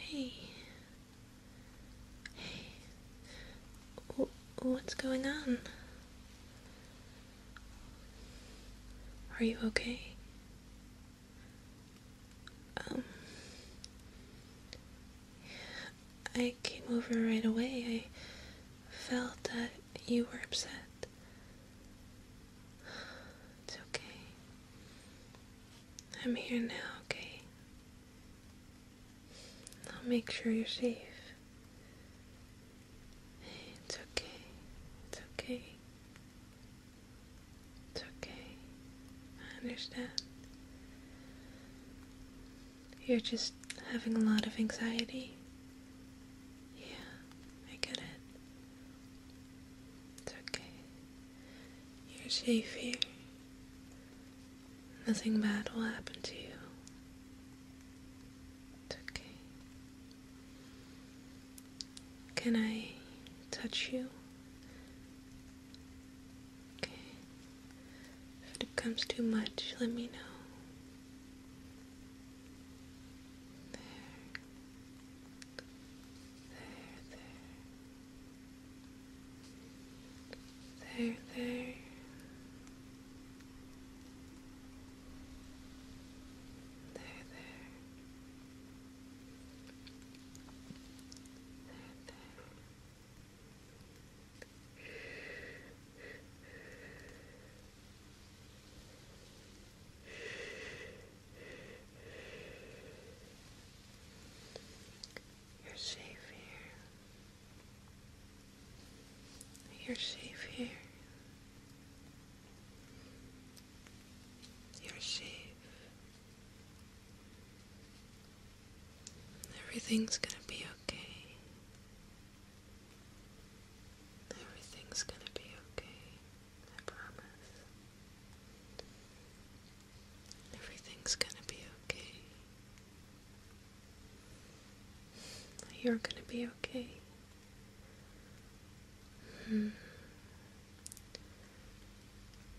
Hey. Hey. what's going on? Are you okay? Um. I came over right away. I felt that you were upset. It's okay. I'm here now, okay? I'll make sure you're safe. It's okay. It's okay. It's okay. I understand. You're just having a lot of anxiety. Yeah. I get it. It's okay. You're safe here. Nothing bad will happen to you. It's okay. Can I touch you? Okay. If it becomes too much, let me know. There. There, there. There, there. There, there. There, there. You're safe here. You're safe here. You're safe. Everything's gonna be okay. Everything's gonna be okay, I promise. Everything's gonna be okay. You're gonna be okay. Hmm.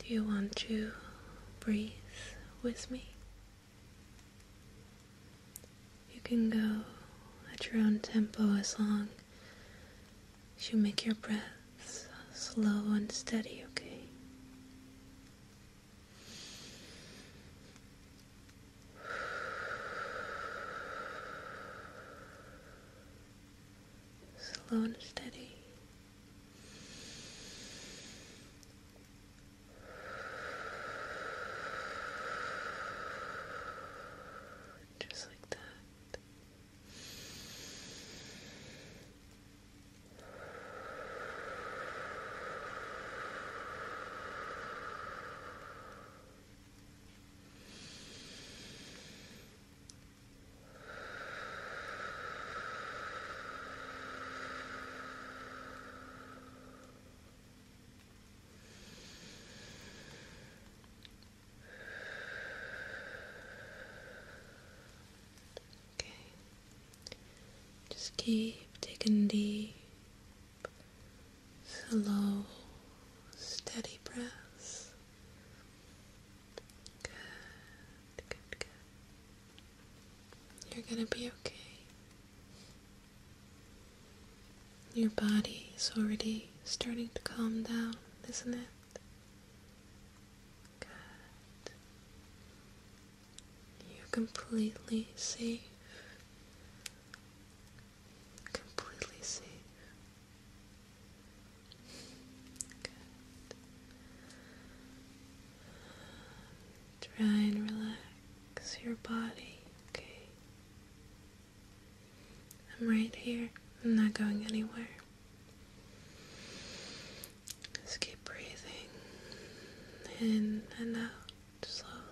Do you want to breathe with me? You can go at your own tempo as long as you make your breaths slow and steady, okay? Slow and steady. Just like that. Just like that. Okay. Just keep digging deep, slow, steady breaths. Good, good, good. You're gonna be okay. Your body is already starting to calm down, isn't it? Good. You're completely safe. Completely safe. Good. Try and relax your body, okay? I'm right here. I'm not going anywhere. Just keep breathing in and out slowly.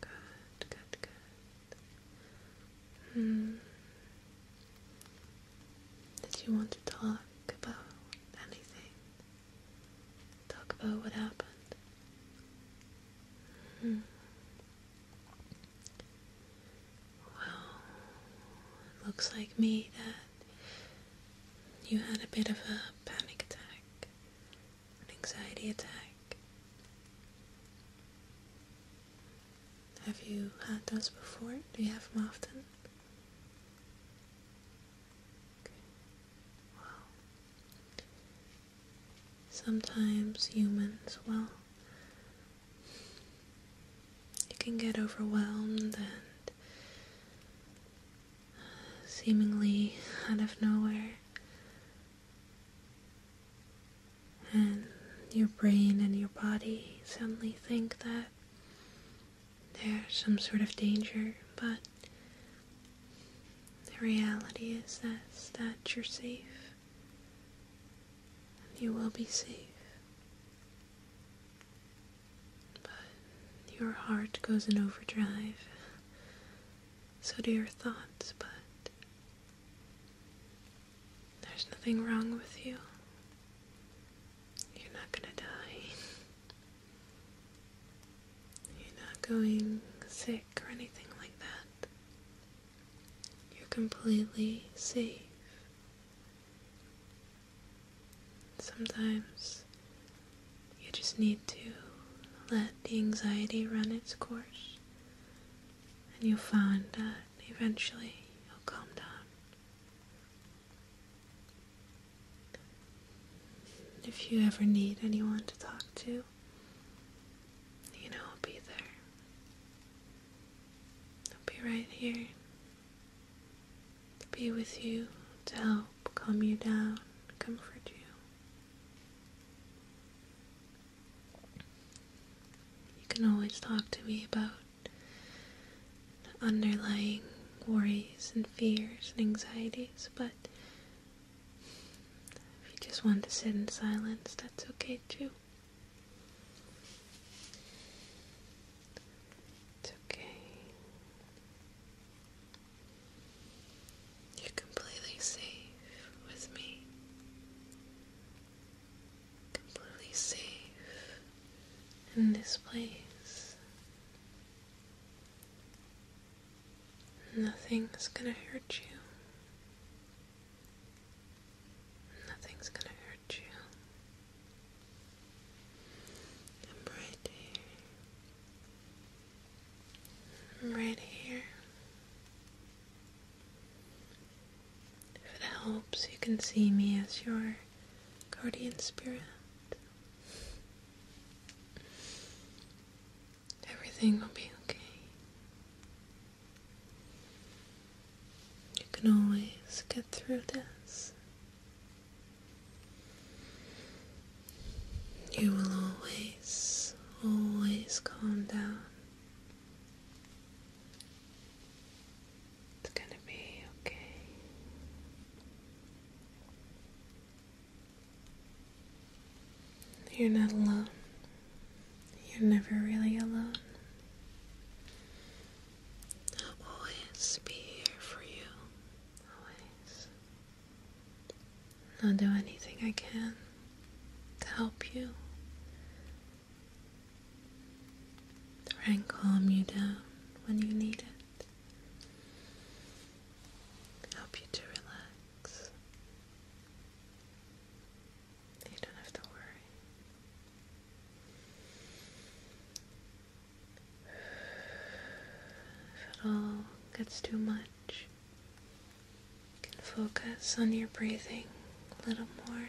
Good, good, good. Mm. Did you want to talk about anything? Talk about what happened? Hmm. Well, looks like me that you had a bit of a panic attack, an anxiety attack. Have you had those before? Do you have them often? Sometimes humans, well, you can get overwhelmed and uh, seemingly out of nowhere and your brain and your body suddenly think that there's some sort of danger, but the reality is that, that you're safe. And you will be safe. But your heart goes in overdrive. So do your thoughts, but there's nothing wrong with you. You're not gonna die. You're not going sick or anything like that. You're completely safe. Sometimes you just need to let the anxiety run its course and you'll find that eventually you'll calm down. If you ever need anyone to talk to, you know I'll be there. I'll be right here to be with you, to help calm you down, comfort you. You can always talk to me about the underlying worries and fears and anxieties, but if you just want to sit in silence, that's okay too. It's okay. You're completely safe with me. Completely safe in this place. Nothing's gonna hurt you. Nothing's gonna hurt you. I'm right here. I'm right here. If it helps, you can see me as your guardian spirit. Everything will be okay. You can always get through this you will always, always calm down. It's gonna be okay. You're not alone. You're never really alone. I'll always be here for you. Always. I'll do anything I can to help you. to Try and calm you down when you need it. Help you to relax. You don't have to worry. If it all gets too much, can focus on your breathing a little more.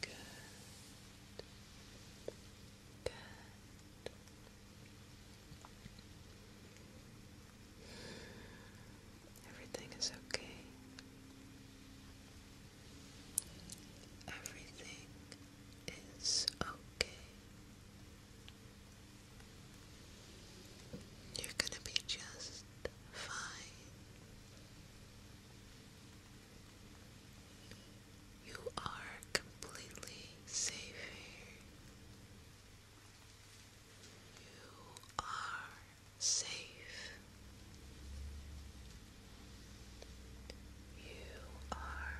Good. Good. Everything is okay. Everything is okay. You're gonna be just fine. You are completely safe here. You are safe. You are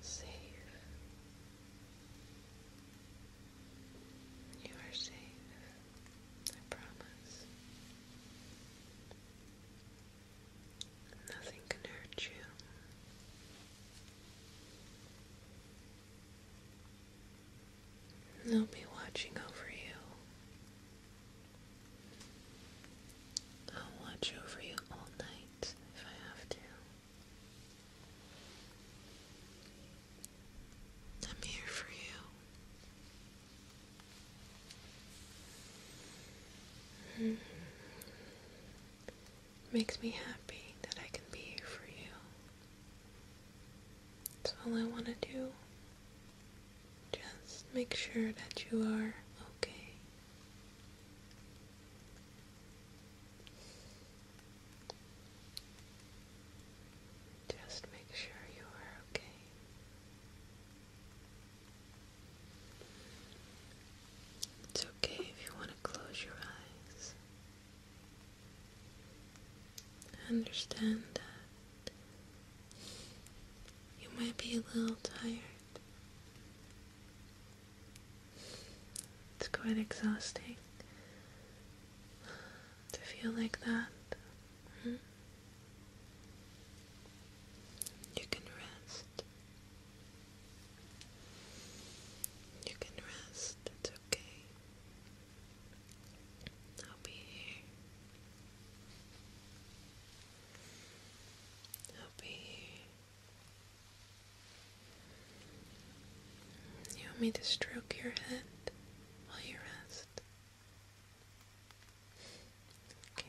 safe. You are safe, I promise. Nothing can hurt you. They'll be watching over you. I'll watch over you all night if I have to. I'm here for you. Mm-hmm. Makes me happy that I can be here for you. That's all I want to do. Just make sure that you are okay. Just make sure you are okay. It's okay if you want to close your eyes. understand that you might be a little tired. It's quite exhausting to feel like that. Mm-hmm. You can rest. You can rest. It's okay. I'll be here. I'll be here. You want me to stroke your head while you rest? Okay.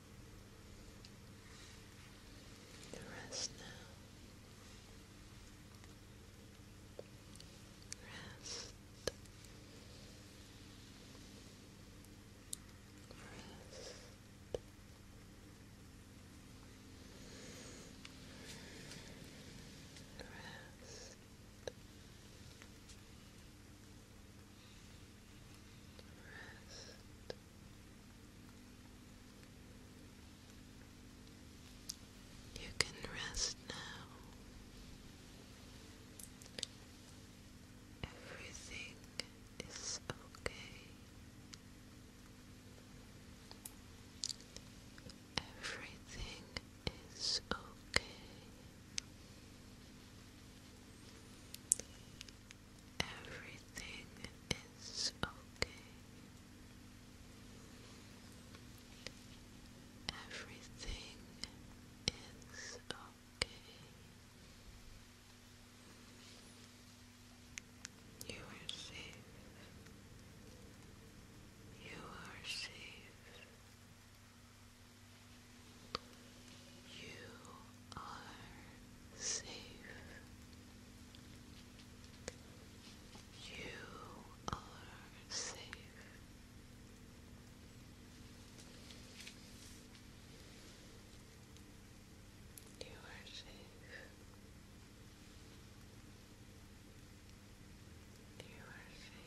The rest now. Rest. Rest. Rest. Rest. Rest. You can rest now. Everything is okay. Everything is okay. Everything is okay. Everything is okay. You are safe. You are safe. You are safe. You are safe. You are safe. You are safe.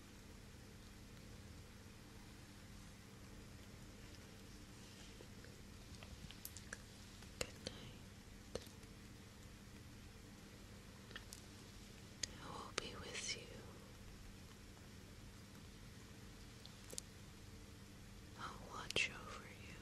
Good night. I will be with you I'll watch over you